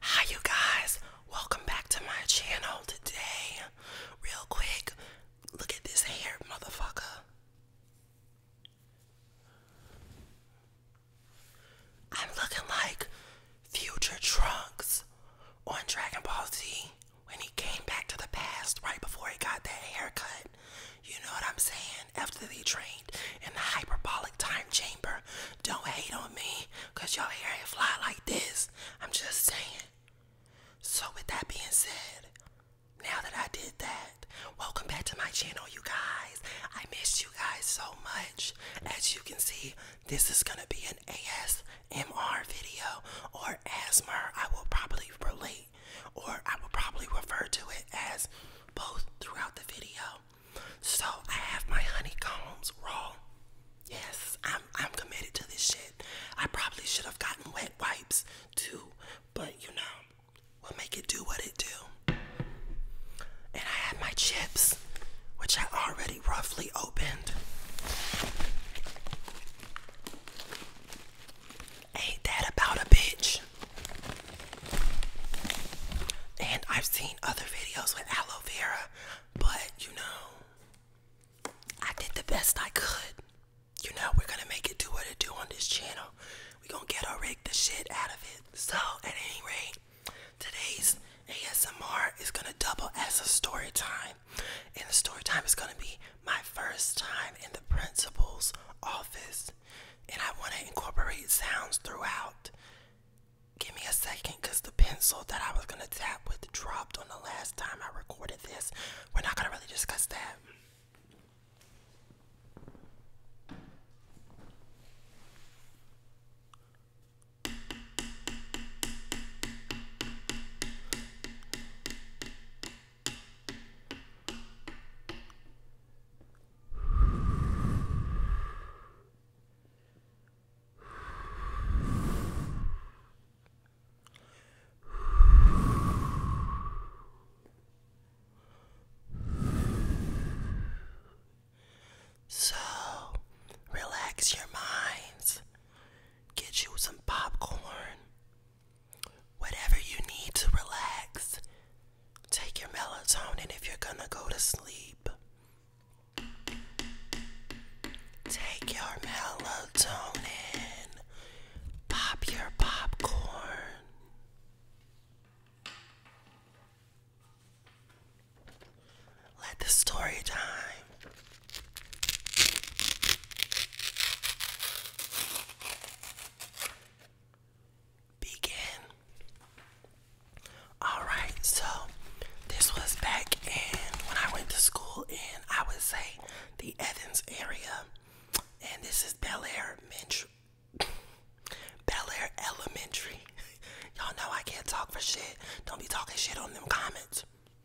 Hi, you guys. Welcome back to my channel today. Real quick, look at this hair, motherfucker. I'm looking like future Trunks on Dragon Ball Z when he came back to the past right before he got that haircut. You know what I'm saying? After they trained in the hyperbolic time chamber, don't hate on me because y'all hear it fly like this. I'm just saying. So, with that being said, now that I did that, welcome back to my channel, you guys. I missed you guys so much. As you can see, this is going to be an ASMR video or ASMR. I will probably relate or I will probably refer to it as both throughout the video. So I have my honeycombs raw. Yes, I'm I'm committed to this shit. I probably should have gotten wet wipes too, but you know, we'll make it do what it do. And I have my chips, which I already roughly opened. Ain't that about a bitch? And I've seen other videos with aloe vera, but you know, I did the best I could. You know, we're gonna make it do what it do on this channel. We're gonna get our rig the shit out of it. So, at any rate, today's ASMR is gonna double as a story time. And the story time is gonna be my first time in the principal's office, and I want to incorporate sounds throughout. Give me a second because the pencil that I was going to tap with dropped on the last time I recorded this. We're not going to really discuss that. So, relax your minds. Get you some popcorn whatever you need to relax. Take your melatonin if you're gonna go to sleep. Take your melatonin. Pop your popcorn. Let the story time Begin. Alright, so this was back in when I went to school in, I would say, the Evans area. And this is Bel Air Mentor. Bel Air Elementary. Y'all know I can't talk for shit. Don't be talking shit on them comments.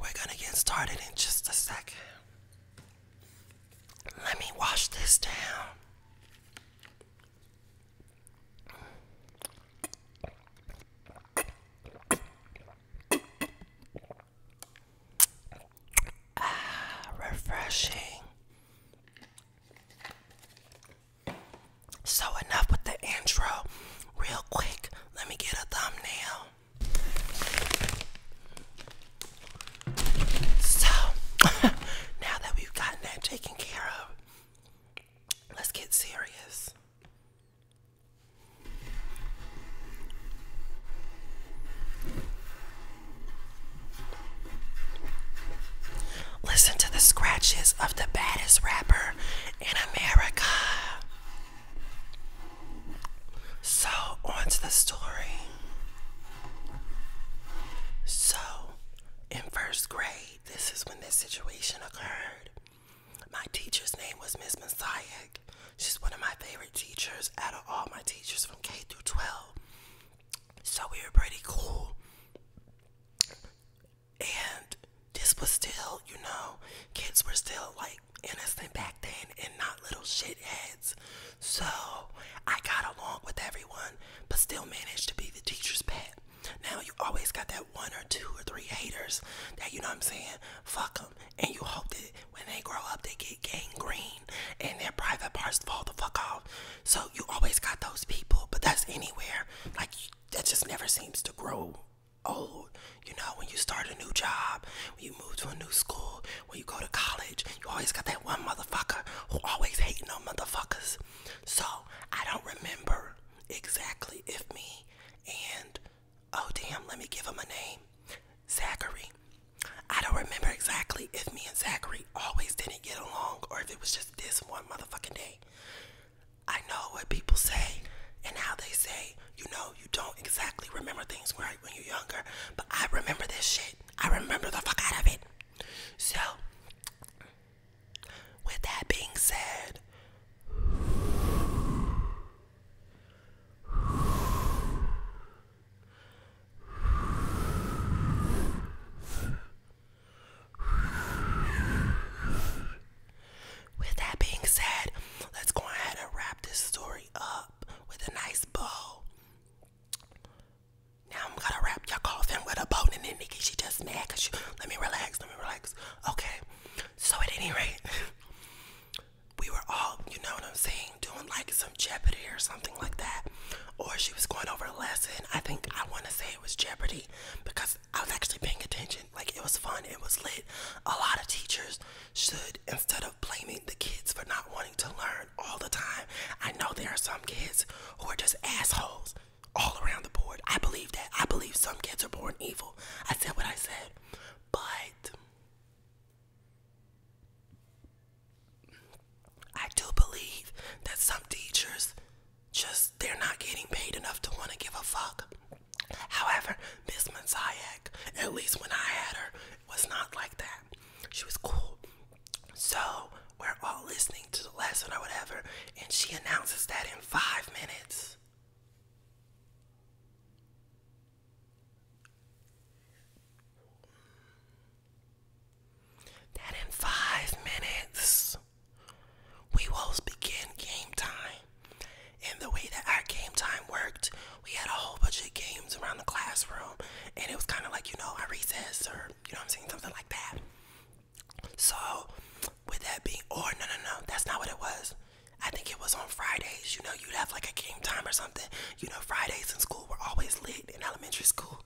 We're gonna get started in just a second. Let me wash this down. Ah, refreshing. So, enough with the intro. Real quick, let me get a thumbnail. So, now that we've gotten that taken care of, let's get serious. Listen to the scratches of the baddest rapper in America. So, on to the story. So, in first grade, this is when this situation occurred. My teacher's name was Miss Messiah. She's one of my favorite teachers out of all my teachers from K through 12. So we were pretty cool. And this was still, you know, kids were still like innocent back then and not little shitheads. So I got along with everyone, but still managed to be the teacher's pet. Now you always got that one or two or three haters that, you know what I'm saying, fuck them. And you hope that when they grow up, they get gangrene and their private parts fall the fuck off. So you always got those people, but that's anywhere. Like that just never seems to grow old. You know, when you start a new job, when you move to a new school, when you go to college, you always got that one motherfucker who always hating on motherfuckers. So I don't remember exactly if me and oh damn, let me give him a name. Zachary I don't remember exactly if me and Zachary always didn't get along or if it was just this one motherfucking day. I know what people say and how they say, you know, you don't exactly remember things right when you're younger, but I remember this shit. I remember the fuck out of it. So, with that being said, with that being said, let's go ahead and wrap this story up with a nice bow. Now I'm gonna wrap your coffin with a bow, and then Nikki she just mad you. Let me relax. Let me relax. Okay. So at any rate, we were all, you know what I'm saying doing like some Jeopardy or something like that, or she was going over a lesson. I think I want to say it was Jeopardy because I was actually paying attention. Like it was fun, it was lit. A lot of teachers should, instead of blaming the kids for not wanting to learn all the time, I know there are some kids who are just assholes all around the board. I believe that. I believe some kids are born evil. I said what I said, but I do believe that some teachers just they're not getting paid enough to want to give a fuck. However, Miss Manzayak, at least when I had her, was not like that. She was cool. So we're all listening to the lesson or whatever, and she announces that in five minutes. That in five minutes, we will begin game time. And the way that our game time worked, we had a whole bunch of games around the classroom, and it was kind of like, you know, a recess or, you know I'm saying, something like that. So, with that being, or no, no, no, that's not what it was. I think it was on Fridays, you know, you'd have like a game time or something, you know, Fridays in school were always lit in elementary school.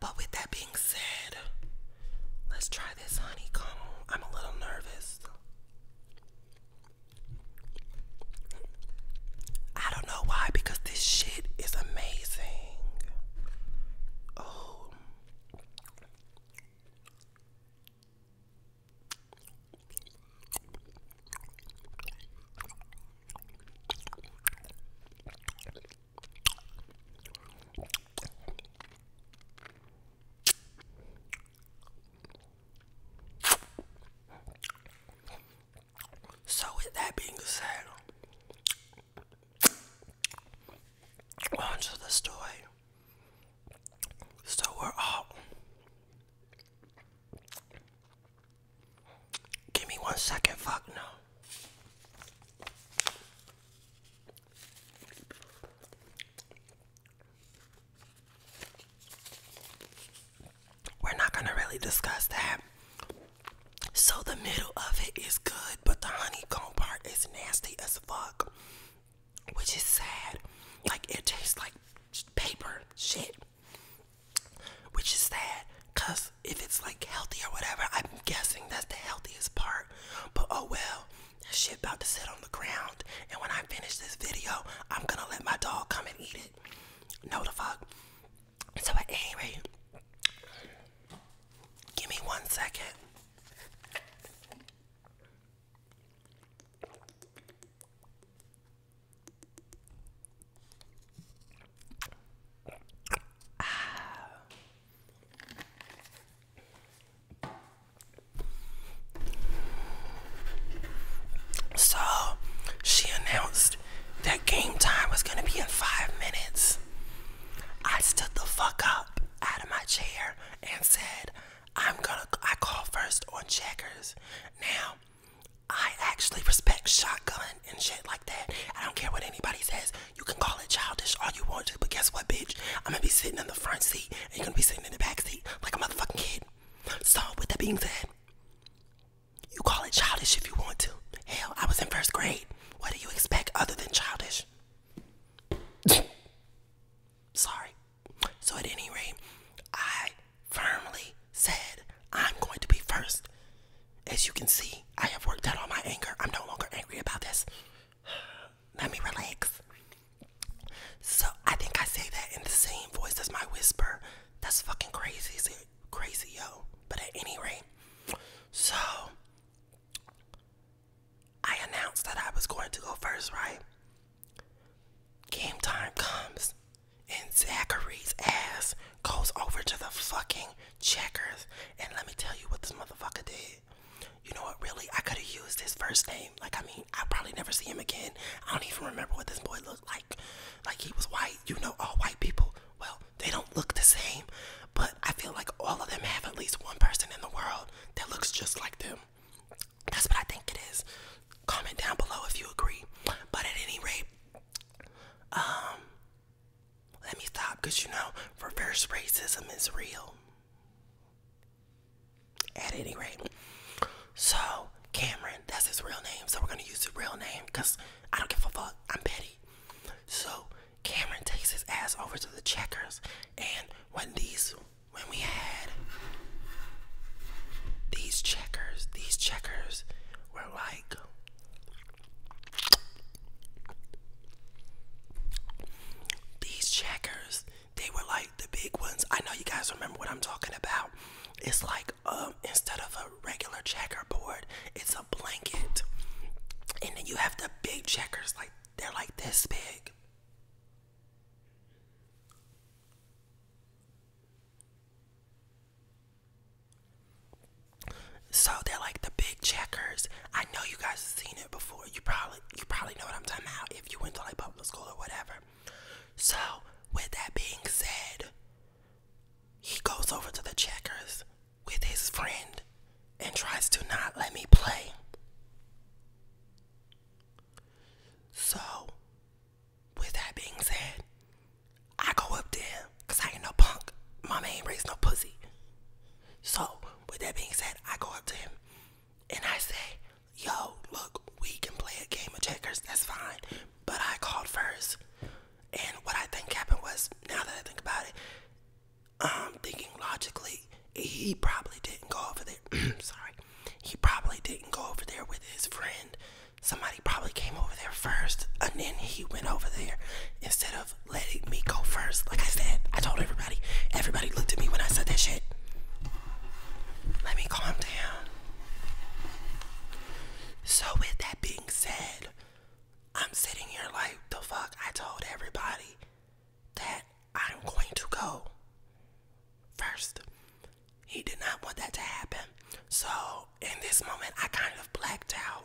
But with that being said, let's try this honeycomb. I'm a little nervous. I don't know why, because this shit is amazing. Oh. So with that being said, onto the story. So we're all Give me one second, fuck no. We're not gonna really discuss that. So the middle of it is good, but the honeycomb part is nasty as fuck, which is sad. Like it tastes like paper shit. Which is sad, cause if it's like healthy or whatever, I'm guessing that's the healthiest part. But oh well, that shit about to sit on the ground. And when I finish this video, I'm gonna let my dog come and eat it. No the fuck. So at any rate, give me one second. So she announced that game time was gonna be in five minutes. I stood the fuck up out of my chair and said, I'm gonna I call first on checkers. Now, I actually respect shotgun and shit like that. I don't care what anybody says. You can call it childish all you want to, but guess what, bitch? I'm gonna be sitting in the front seat and you're gonna be sitting in the back seat like a motherfucking kid. So, with that being said, you call it childish if you want to. Hell, I was in first grade. What do you expect other than childish? Sorry. So, at any rate, I firmly said I'm going to be first. As you can see, I have worked out all my anger. I'm no longer angry about this. Let me relax. So, I think I say that in the same voice as my whisper. That's fucking crazy, crazy, yo. But at any rate, so I announced that I was going to go first, right? Game time comes, and Zachary's ass goes over to the fucking checkers. And let me tell you what this motherfucker did. You know what, really? I could have used his first name. Like, I mean, i probably never see him again. I don't even remember what this boy looked like. Like, he was white. You know, all white people, well, they don't look the same. But I feel like all of them have at least one person in the world that looks just like them. That's what I think it is. Comment down below if you agree. But at any rate, um, let me stop because you know, reverse racism is real. At any rate, so Cameron, that's his real name. So we're gonna use his real name because I don't give a fuck. I'm petty. So Cameron takes his ass over to the checkers, and when these when we had these checkers, these checkers were like these checkers, they were like the big ones. I know you guys remember what I'm talking about. It's like um instead of a regular checkerboard, it's a blanket. And then you have the big checkers, like they're like this big. So they're like the big checkers. I know you guys have seen it before. You probably you probably know what I'm talking about if you went to like public school or whatever. So with that being said, he goes over to the checkers with his friend and tries to not let me play. So, with that being said, I go up there because I ain't no punk. Mama ain't raised no pussy. So, with that being said, I go up to him and I say, Yo, look, we can play a game of checkers, that's fine. But I called first. And what I think happened was, now that I think about it, um, thinking logically, he probably didn't go over there. sorry, he probably didn't go over there with his friend. Somebody probably came over there first, and then he went over there instead of letting me go first. Like I said, I told everybody. Everybody looked at me when I said that shit. Let me calm down. So, with that being said, I'm sitting here like, the fuck? I told everybody that I'm going to go first. He did not want that to happen. So, in this moment, I kind of blacked out.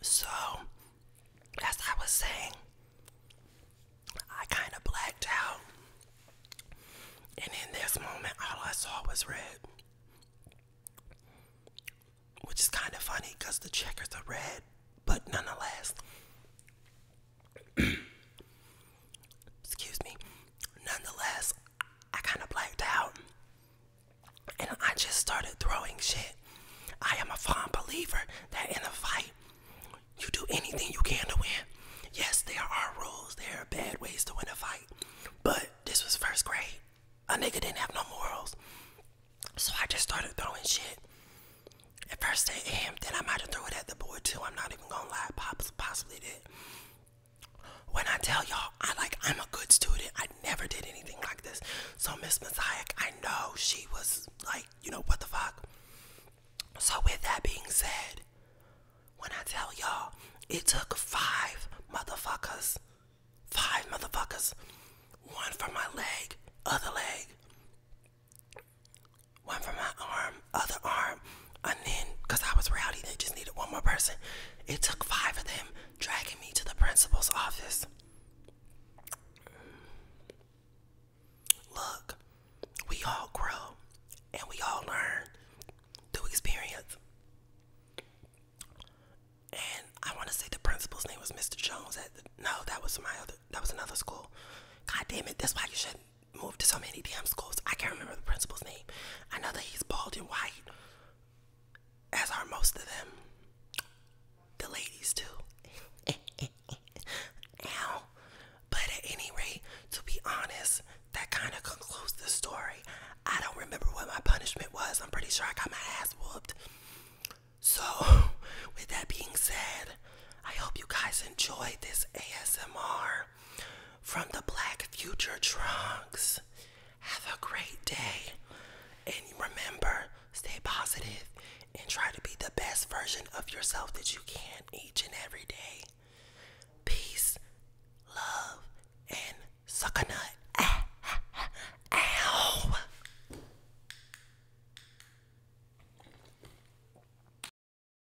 So, as I was saying, I kind of blacked out. And in this moment, all I saw was red. Which is kind of funny because the checkers are red, but nonetheless. Excuse me. Nonetheless, I kind of blacked out and I just started throwing shit. I am a fond believer that in a fight, you do anything you can to win. Yes, there are rules, there are bad ways to win a fight, but this was first grade. A nigga didn't have no morals. So I just started throwing shit. At first at him, then I might have threw it at the boy too. I'm not even gonna lie, Pops possibly did. When I tell y'all, I like I'm a good student. I never did anything like this. So Miss Messiah, I know she was like, you know, what the fuck. So with that being said, when I tell y'all, it took five motherfuckers, five motherfuckers, one for my leg, other leg, one for my arm, other arm, and then I was rowdy, they just needed one more person. It took five of them dragging me to the principal's office. Look, we all grow and we all learn through experience. And I want to say the principal's name was Mr. Jones. no, that was my other. That was another school. God damn it! That's why you shouldn't moved to so many damn schools. I can't remember the principal's name. I know that he's bald and white, as are most of them. The ladies, too. Ow. But at any rate, to be honest, that kind of concludes the story. I don't remember what my punishment was. I'm pretty sure I got my ass whooped. So, with that being said, I hope you guys enjoyed this ASMR. From the Black Future Trunks. Have a great day. And remember, stay positive and try to be the best version of yourself that you can each and every day. Peace, love, and suck nut. ow.